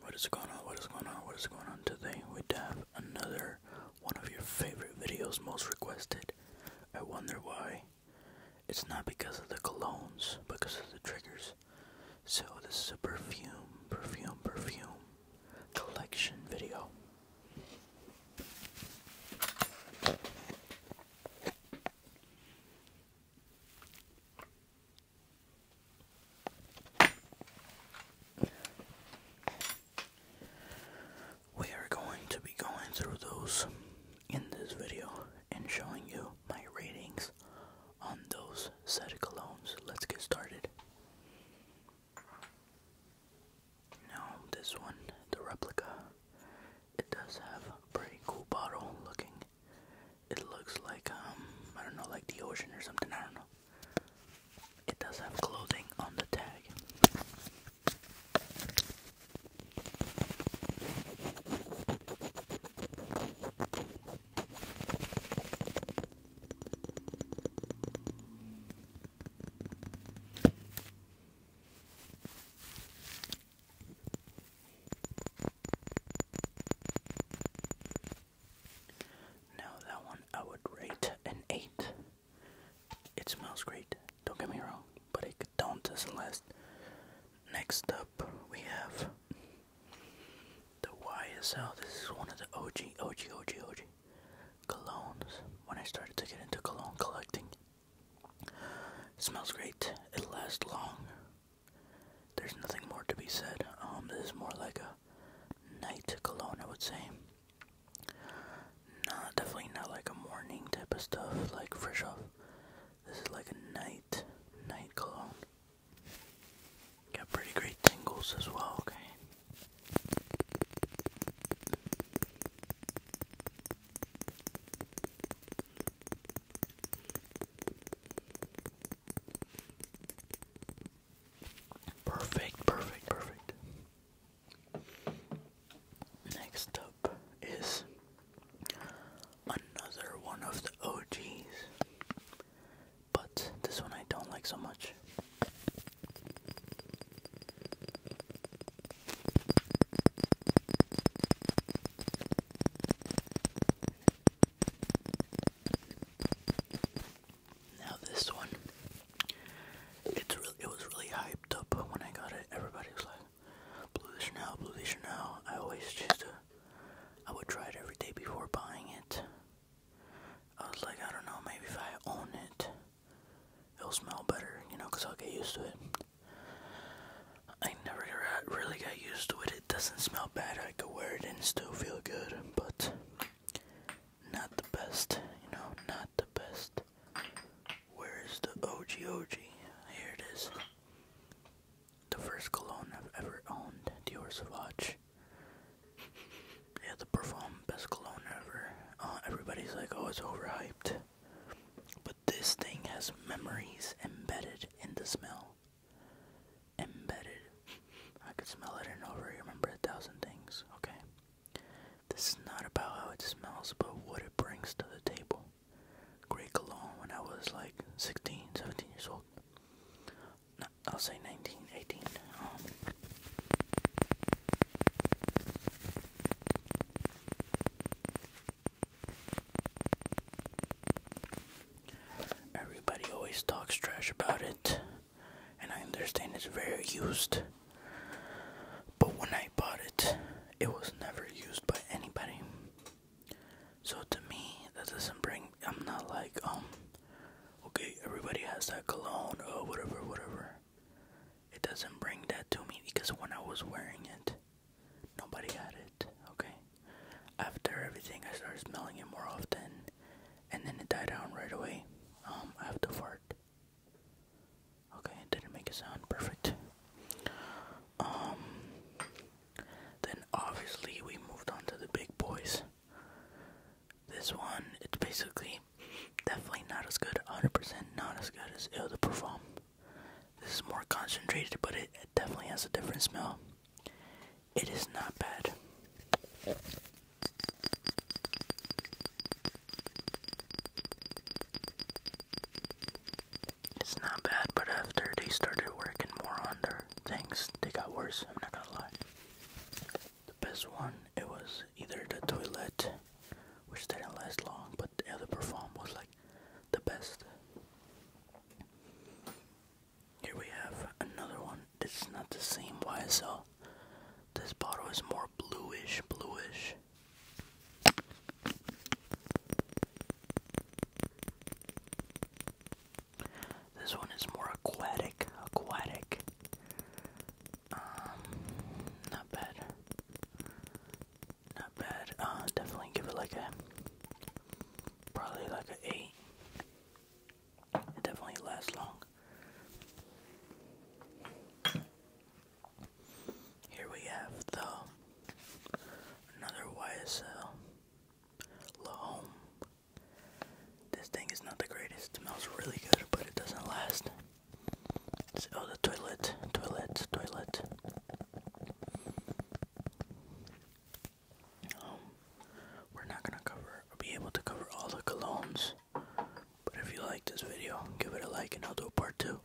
What is going on? What is going on? What is going on today? We have another one of your favorite videos, most requested. I wonder why. It's not because of the colognes, because of the triggers. So this is a perfume, perfume, perfume collection video. We are going to be going through those in this video and showing you my ratings on those said colognes. Let's get started. Now, this one, the replica, it does have a pretty cool bottle looking it looks like um I don't know like the ocean or something, I don't know. It does have clothing on the tag. Now that one I would rate an 8. It smells great, don't get me wrong, but it don't doesn't last. Next up we have the YSL. This is one of the OG, OG, OG, OG colognes. When I started to get into cologne collecting, Smells great. It lasts long. There's nothing more to be said. Um, this is more like a night cologne, I would say. Not definitely not like a morning type of stuff, like fresh off. This is like a night, night cologne. Got pretty great tingles as well, okay? Perfect, perfect, perfect. Next up is another one of the OGs, but this one I don't like so much. Now this one, it's really, it was really hyped up when I got it. Everybody was like, "Blue Chanel, Blue Chanel." I always just, to, uh, I would try it every day before buying it. I was like, I don't know, maybe if I own it, it'll smell better, you know, because I'll get used to it. I never really got used to it. It doesn't smell bad. I could wear it and still feel good, but not the best, you know, not the best. Where is the OG OG? Here it is. The first cologne I've ever owned, Dior Sauvage yeah, the perform best cologne ever. Uh, everybody's like, oh, it's overhyped. But this thing has memories embedded in the smell. Embedded. I could smell it and over remember a thousand things, okay? This is not about how it smells, but what it brings to the table. Great cologne when I was like 16, 17 years old. I'll say 19, 18. everybody always talks trash about it, and I understand it's very used. But when I bought it, it was never used by anybody. So to me, that doesn't bring. I'm not like, um, Okay, everybody has that cologne or whatever, whatever. It doesn't bring that to me because when I was wearing it, nobody had it. Okay, after everything, I started smelling it more often, and then it died down right away. Um, I have to fart. Okay, it didn't make a sound. Perfect. Um, then obviously we moved on to the big boys. This one, it's basically definitely not as good, 100% not as good as Il de Perform. This is more concentrated, but it, it definitely has a different smell. It is not bad. It's not bad, but after they started working more on their things. They got worse, I'm not gonna lie. The best one, it was either the toilet, which didn't last long, but the other perform was like the best. Here we have another one. This is not the same YSL. This bottle is more bluish, bluish. This one is more aquatic, aquatic. Um, not bad. Not bad. Uh, definitely give it like a, probably like a 8. It definitely lasts long. Here we have the another YSL Lahome. This thing is not the greatest. It smells really good, but it doesn't last. oh, the toilet, toilet, toilet. Um, we're not gonna cover, be able to cover all the colognes. But if you like this video, give it a like, and I'll do part two.